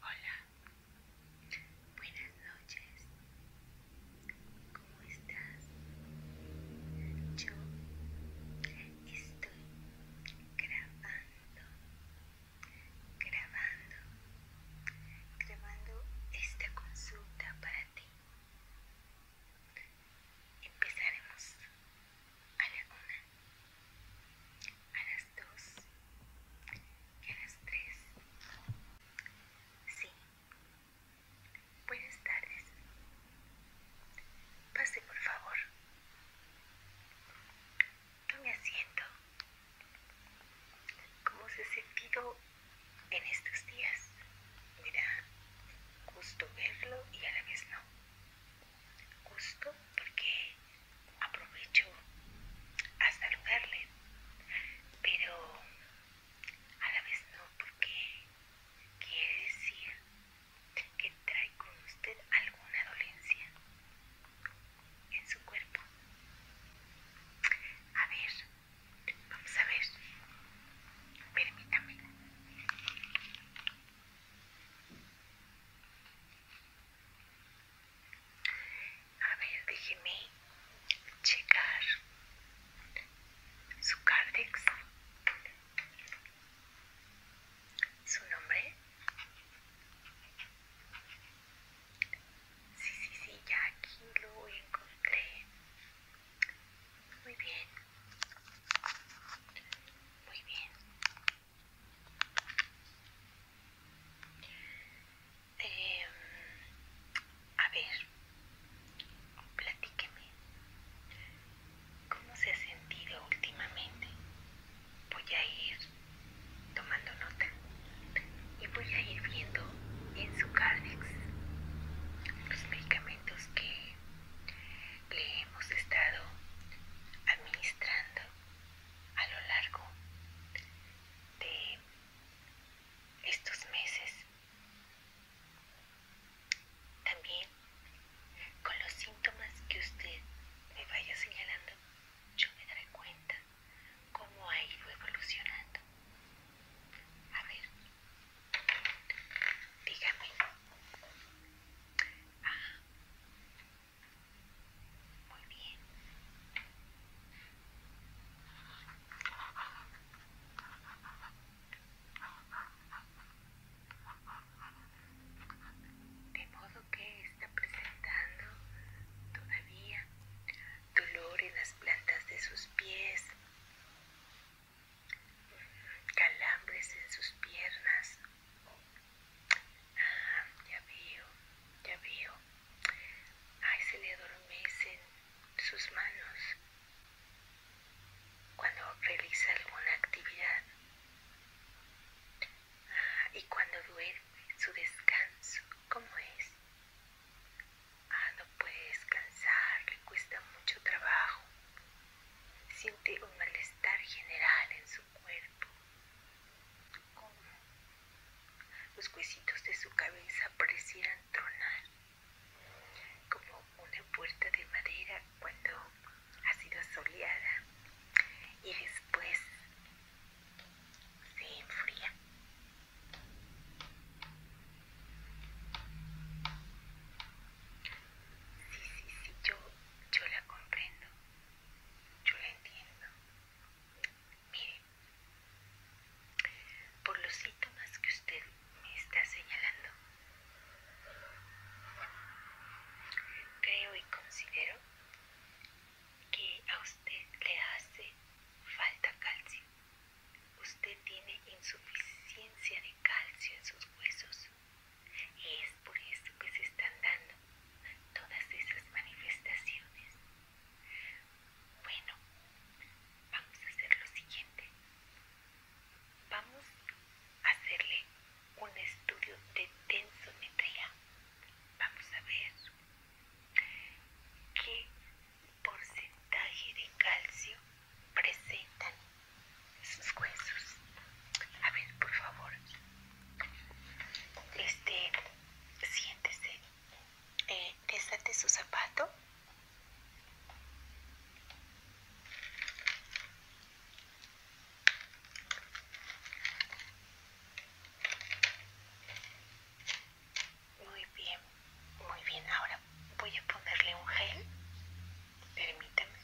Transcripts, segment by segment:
Hola, buenas noches, ¿cómo estás? Yo estoy grabando, grabando, grabando esta consulta para ti. Empezaremos a la una, a las dos y a las tres. Sí. Buenas tardes. Pase, por favor. me asiento. ¿Cómo se ha sentido en estos días? Mira, gusto verlo y a la vez no. Gusto porque aprovecho a saludarle, pero a la vez no porque quiere decir que trae con usted alguna dolencia en su cuerpo. A ver, vamos a ver. Permítame. A ver, déjeme checar su cardex, ¿Su nombre? Sí, sí, sí, ya aquí lo encontré. Muy bien. Muy bien. Em, a ver, platíqueme. ¿Cómo se ha sentido últimamente? Voy a ir tomando nota y voy a ir viendo en su cárdex los medicamentos que le hemos estado administrando a lo largo de estos meses también con los síntomas que usted me vaya señalando yo me daré cuenta cómo ha ido evolucionando a ver Dígame. Ah. muy bien. De modo que está presentando todavía dolor en las plantas de sus pies calambres en sus piernas. Ah, ya veo, ya veo. Ay, se le adormecen sus manos cuando realiza alguna actividad. Ah, y cuando duerme, su descanso, ¿cómo es? Ah, no puede descansar, le cuesta mucho trabajo. Siente un malestar general en su cuerpo, como los huesitos de su cabeza parecieran tronar, como una puerta de madera cuando ha sido soleada y después se enfría. Sí, sí, sí, yo, la comprendo. Yo la entiendo. Mire, por los síntomas que usted me está señalando, creo y considero que a usted le hace falta calcio. Usted tiene insuficiencia de calcio en sus huesos y es por eso que se están dando todas esas manifestaciones. Bueno, vamos a hacer lo siguiente. Vamos a hacerle un estudio de tensometría. Vamos a ver qué porcentaje de calcio presentan sus huesos. A ver, por favor, este, siéntese, eh, desate su zapato. Muy bien. Muy bien, ahora voy a ponerle un gel. Permítame.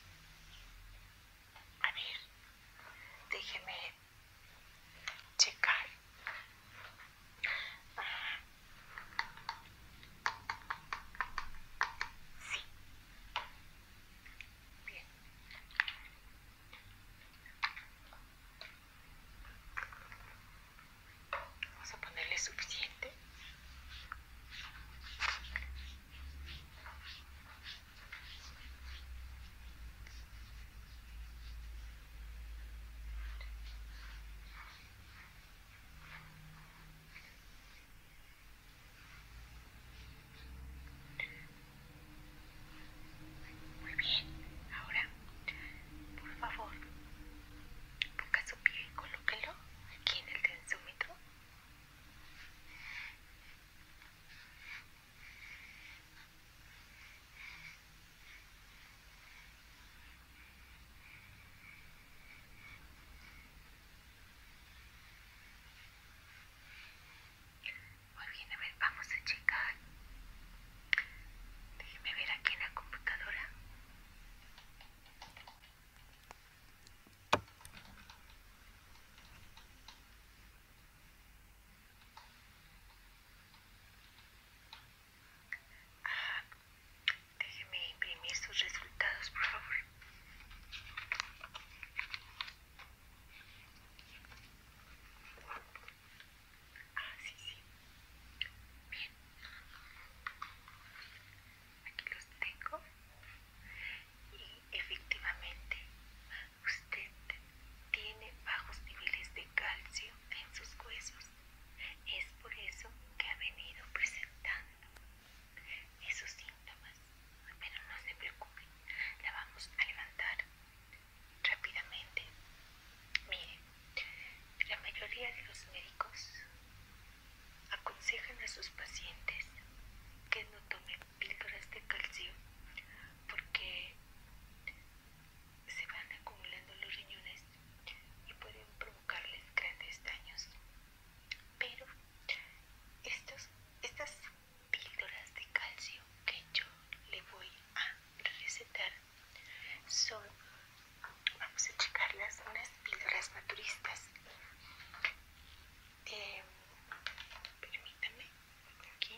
A ver, déjeme checar. Ah. Sí. Bien. Vamos a ponerle suficiente. Muy bien, ahora por favor ponga su pie y colóquelo aquí en el dedo muy bien, a ver, vamos a checar. Déjeme ver aquí en la computadora déjeme imprimir sus resultados, por favor. Ah, sí, sí. Bien aquí los tengo y efectivamente usted tiene bajos niveles de calcio en sus huesos es por eso que ha venido presentando esos síntomas pero no se preocupe la vamos a levantar rápidamente mire la mayoría de los médicos aconsejan a sus pacientes que no tomen píldoras de calcio porque se van acumulando los riñones y pueden provocarles grandes daños. Pero estas píldoras de calcio que yo le voy a recetar son vamos a checarlas unas píldoras naturistas eh, permítame aquí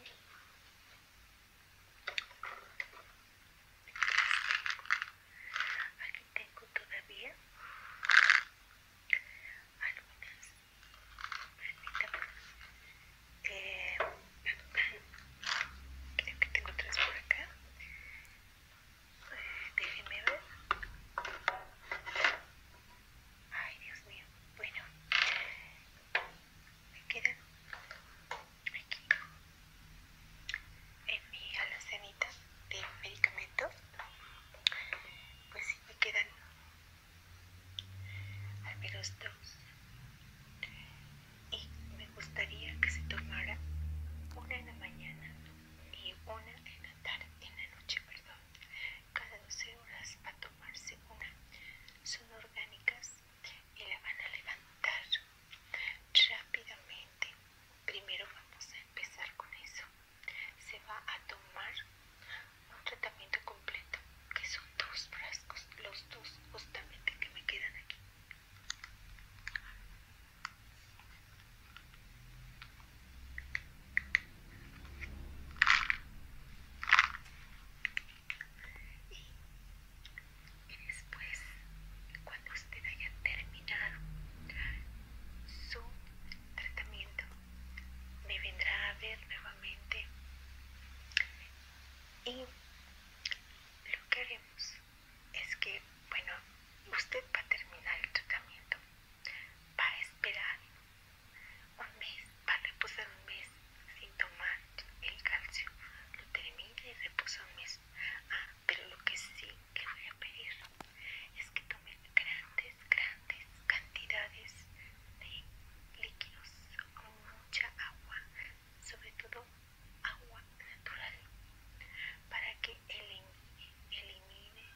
aquí tengo todavía algunas permítame eh, creo que tengo tres por acá Déjenme ver. Ay, Dios mío. Bueno, me quedan aquí en mi alucinita de medicamentos. Pues sí, me quedan al menos dos. Y me gustaría que se tomara una en la mañana y una en la tarde, en la noche, perdón, cada 12 horas a tomarse una. Son orgánicas y la van a levantar rápidamente. Primero vamos a empezar con eso. Se va a tomar un tratamiento completo, que son dos frascos, los dos justamente que me quedan aquí. Y, después, cuando usted haya terminado su tratamiento, me vendrá a ver nuevamente y lo que haremos es que, bueno, usted va a terminar el tratamiento, va a esperar un mes, va a reposar un mes sin tomar el calcio, lo termina y reposa un mes. Ah, pero lo que sí que voy a pedir es que tome grandes, grandes cantidades de líquidos, mucha agua, sobre todo agua natural para que elimine, elimine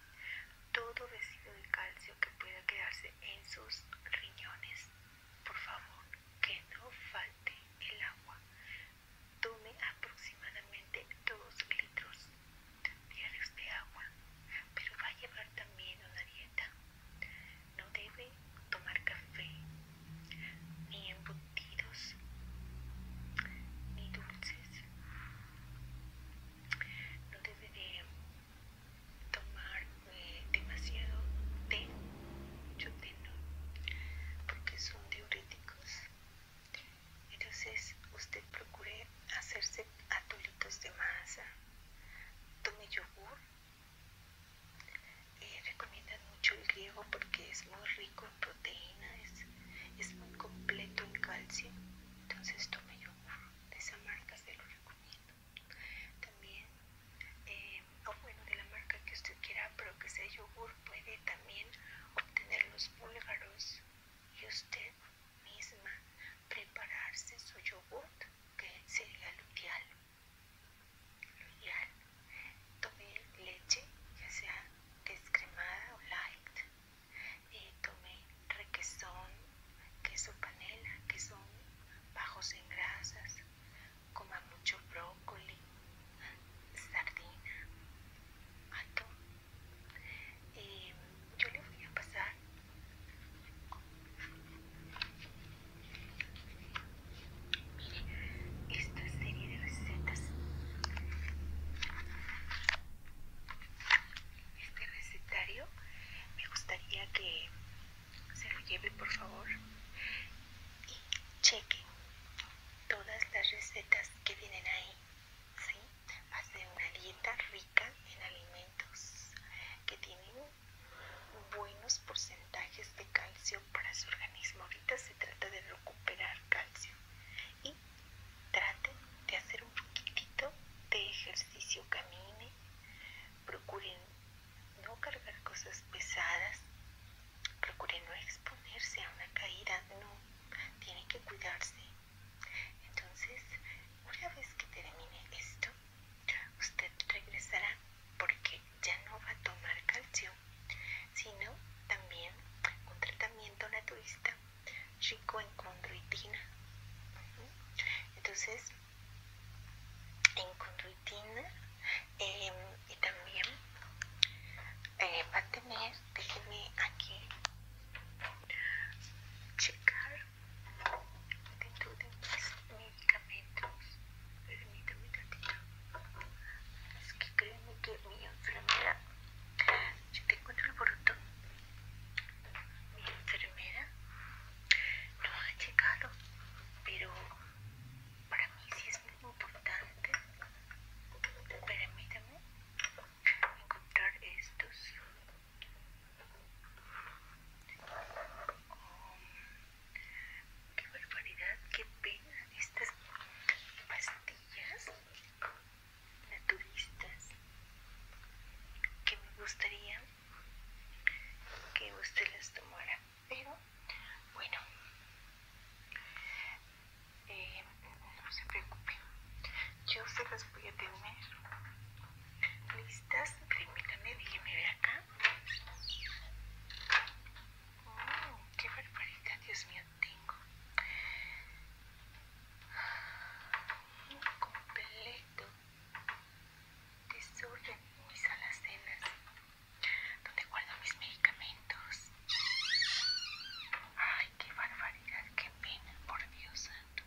todo residuo de calcio que pueda quedarse en sus riñones. Por favor, que no falte el agua. Tome aproximadamente 2 litros diarios de agua, pero va a llevar también una dieta. No debe tomar café ni embutidos ni dulces. No debe de tomar eh, demasiado té, mucho té no, porque son diuréticos. Entonces usted procure hacerse atolitos de masa, tome yogur. recomienda eh, recomiendan mucho el griego porque es muy rico con proteínas, es, muy completo en calcio, entonces tome yogur de esa marca, se lo recomiendo. También, eh, o bueno, de la marca que usted quiera, pero que sea yogur, puede también obtener los búlgaros y usted misma prepararse su yogur, que sería lo Lo ideal. Tomé leche, ya sea descremada o light. Eh, tomé requesón, queso panela, que son bajos en grasas. Coma mucho brócoli, sardina, atún. Eh, yo le voy a pasar esta serie de recetas este recetario me gustaría que se lo lleve por favor y cheque todas las recetas que vienen ahí ¿sí? una dieta rica en alimentos que tienen buenos porcentajes de calcio para su organismo ahorita se trata de recuperar calcio y traten de hacer un poquitito de ejercicio, camine, procuren no cargar cosas pesadas, procuren no exponerse a una caída, no, tienen que cuidarse. Entonces, una vez que termine esto, usted regresará porque ya no va a tomar calcio sino también un tratamiento naturista rico en conduitina Entonces, en conduitina em, y también eh, va a tener, déjenme aquí checar dentro de mis medicamentos. Es que créeme que mi enfermedad yo Si te encuentro el bruto, mi enfermera no ha checado, pero para mí sí es muy importante. Permítame encontrar estos. Oh, ¡Qué barbaridad! ¡Qué pena! Estas pastillas naturistas que me gustaría que usted las tomara. Pero bueno, eh, no se preocupe, yo se las voy a tener listas. Permítame, déjeme ver acá. Mm, ¡Qué barbaridad, Dios mío! tengo un completo desorden en mis alacenas donde guardo mis medicamentos. Ay, qué barbaridad, qué pena, por Dios santo.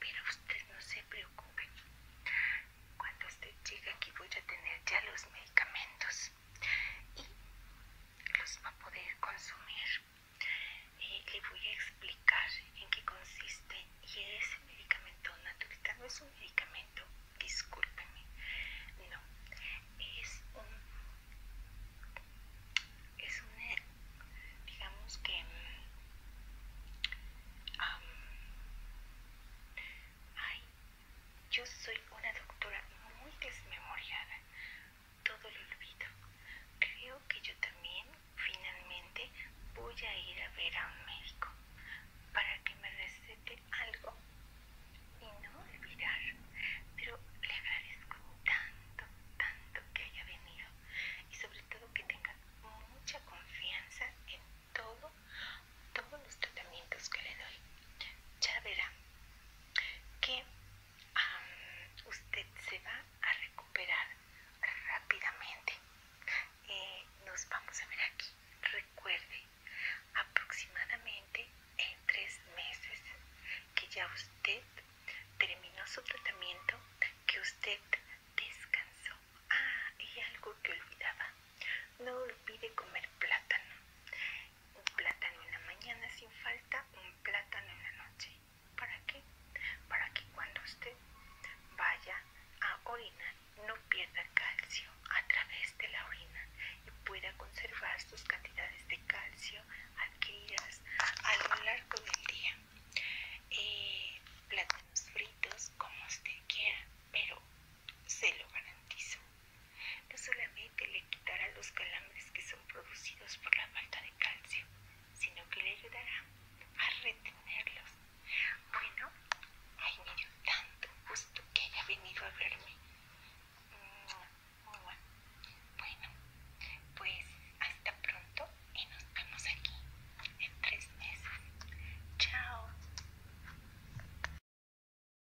Pero usted no se preocupe. Cuando usted llegue aquí voy a tener ya los medicamentos. Y los va a poder consumir. le voy a explicar en qué consiste y es medicamento natural. No es un medicamento, discúlpeme, no. Es un, es un, eh, digamos que, hay mm, yo soy una doctora muy desmemoriada. Todo lo olvido. Creo que yo también finalmente voy a ir a ver a un médico para que me recete algo y no olvidar. Pero le agradezco tanto, tanto que haya venido y sobre todo que tenga mucha confianza en todo, todos los tratamientos que le doy. Ya verá, que usted se va a recuperar rápidamente. Eh, nos vamos a ver aquí. Recuerde, aproximadamente en tres meses que ya usted terminó su tratamiento, que usted descansó. Ah, y algo que olvidaba. No olvide comer plátano un plátano en la mañana sin falta, un plátano en la noche. ¿Para qué? Para que cuando usted vaya a orinar no pierda calcio a través de la orina y pueda conservar sus cantidades de calcio adquiridas a lo largo del día. Eh, plátanos fritos como usted quiera, pero se lo garantizo. No solamente le quitará los calambres que son producidos por la falta de calcio, sino que le ayudará a retenerlos. Bueno, ay, me dio tanto gusto que haya venido a verme. Mm, bueno, pues hasta pronto y nos vemos aquí en tres meses. Chao.